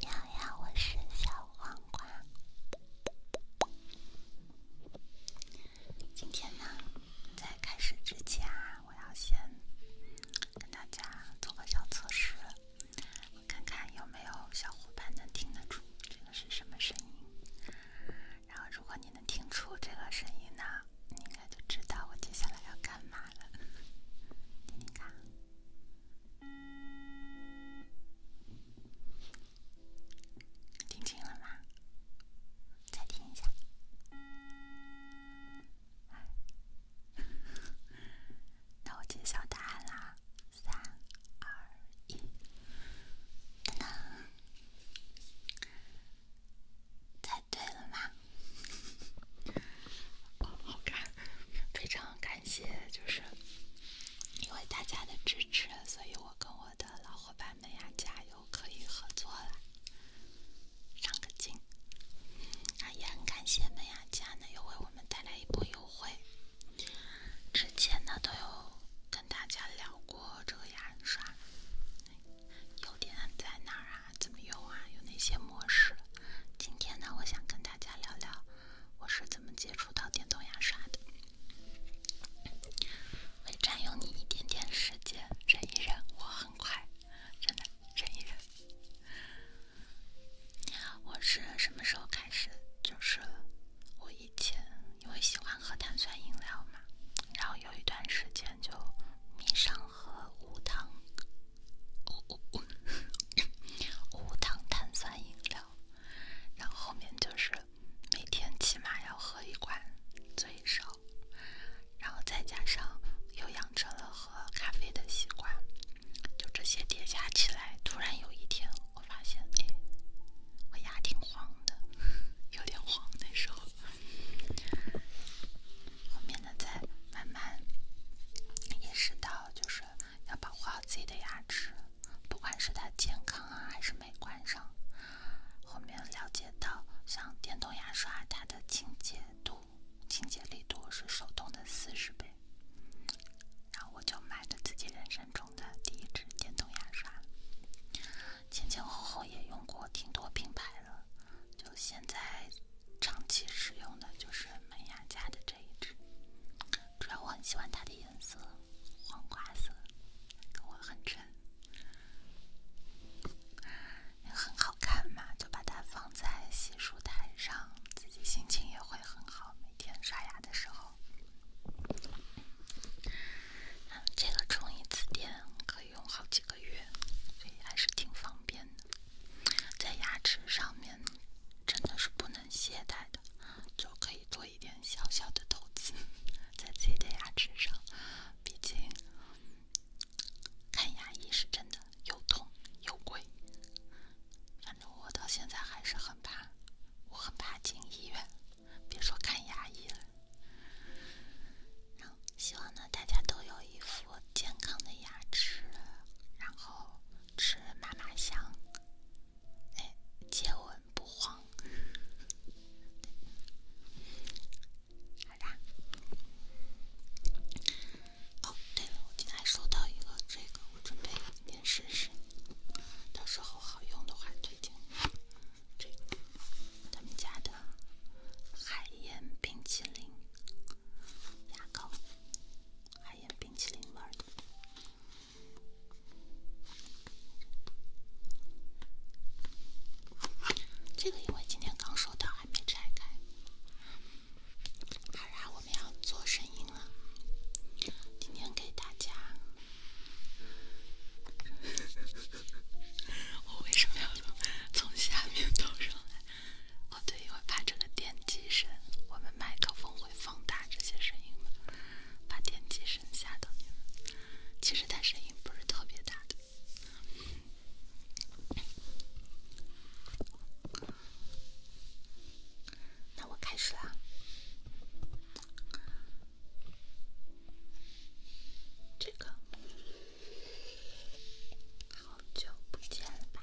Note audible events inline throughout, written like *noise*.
你好呀，我是小黄瓜。今天呢，在开始之前啊，我要先跟大家做个小测试，看看有没有小伙伴能听得出这个是什么声音。然后，如果你能听出这个声音呢，你。就知道我接下来要干嘛了，你 *laughs* 看，听清了吗？再听一下。*laughs* 那我揭晓答案啦，三二一，等等。猜对了吗？哦，好看！非常感谢，就是因为大家的支持，所以我跟我的老伙伴们呀家又可以合作了，上个镜。啊，也很感谢门牙家呢，又为我们带来一波优惠。之前呢，都有跟大家聊过这个牙刷。优点在哪儿啊？怎么用啊？有哪些模式？今天呢，我想跟大家聊聊我是怎么接触到电动牙刷的。会占用你一点点时间，忍一忍，我很快，真的，忍一忍。我是什么时候开始？就是我以前因为喜欢喝碳酸饮料嘛，然后有一段时间就迷上了。喝无糖，无无无无糖碳酸饮料，然后后面就是每天起码要喝一罐最少，然后再加上又养成了喝咖啡的习惯，就这些叠加起来，突然有一天我发现，哎，我牙挺黄的，有点黄那时候。后面呢，再慢慢意识到，就是要保护好自己的牙齿，不管是它健康啊，还是美观上。后面了解到，像电动牙刷，它的清洁度、清洁力度是手动的四十倍。然后我就买了自己人生中的第一支电动牙刷，前前后后也用过挺多品牌了。现在长期使用的就是美雅家的这一支，主要我很喜欢它的颜色，黄瓜色，我很沉。很好看嘛，就把它放在洗漱台上，自己心情也会很好。每天刷牙的时候，这个充一次电可以。用好几个月，所以还是挺方便的。在牙齿上面真的是不能懈怠的，就可以做一点小小的投资，*laughs* 在自己的牙齿上。毕竟看牙医是真的又痛又贵，反正我到现在还是很怕，我很怕进医院，别说看牙医了。希望呢，大家都有一副健康的牙齿，然后吃嘛嘛香，哎，接吻不慌。好啦，哦，对了，我今天还收到一个这个，我准备今天试试，到时候好用的话推荐这个。他们家的海盐冰淇淋牙膏，海盐冰淇淋味的。这个因为今天刚收到，还没拆开。好啦，我们要做声音了。今天给大家，*laughs* 为什么要？从下面倒上来，哦对，因为怕这个电机声，我们麦克风会放大这些声音电机声吓到你们。其实它声音不是特别大的。那我开始啦，这个。好久不见了吧？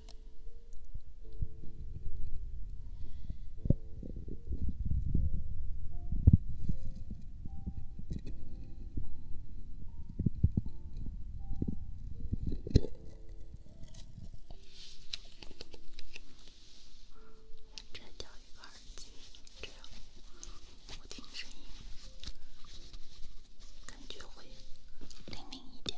摘掉一个耳机，这样我听声音感觉会灵敏一点。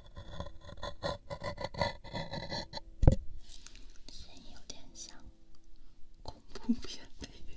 声音有点像恐怖片配乐。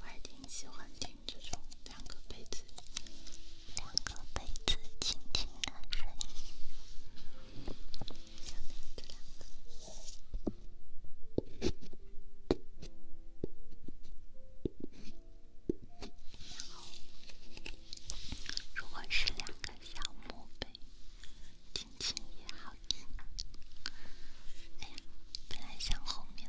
我还挺喜欢听。这种两个杯子，两个杯子，轻轻的声如果是两个小木杯，轻轻也好听。哎呀，本来想后面。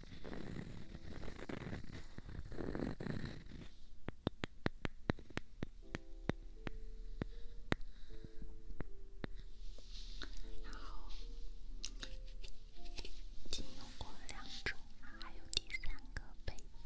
然后，已经用过两种了，还有第三个被子。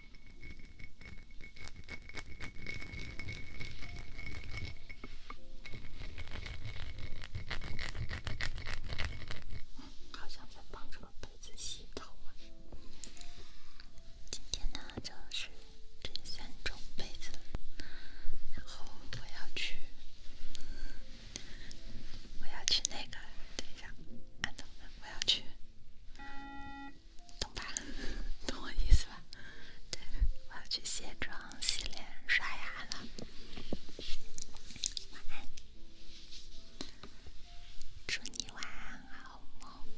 好像在帮这个杯子洗头今天呢，就是先种杯子，然后我要去，我要去那个，等一下，我要去。懂吧？懂我意思吧？对，我要去卸妆、洗脸、刷牙了。晚安，祝你晚安，好梦。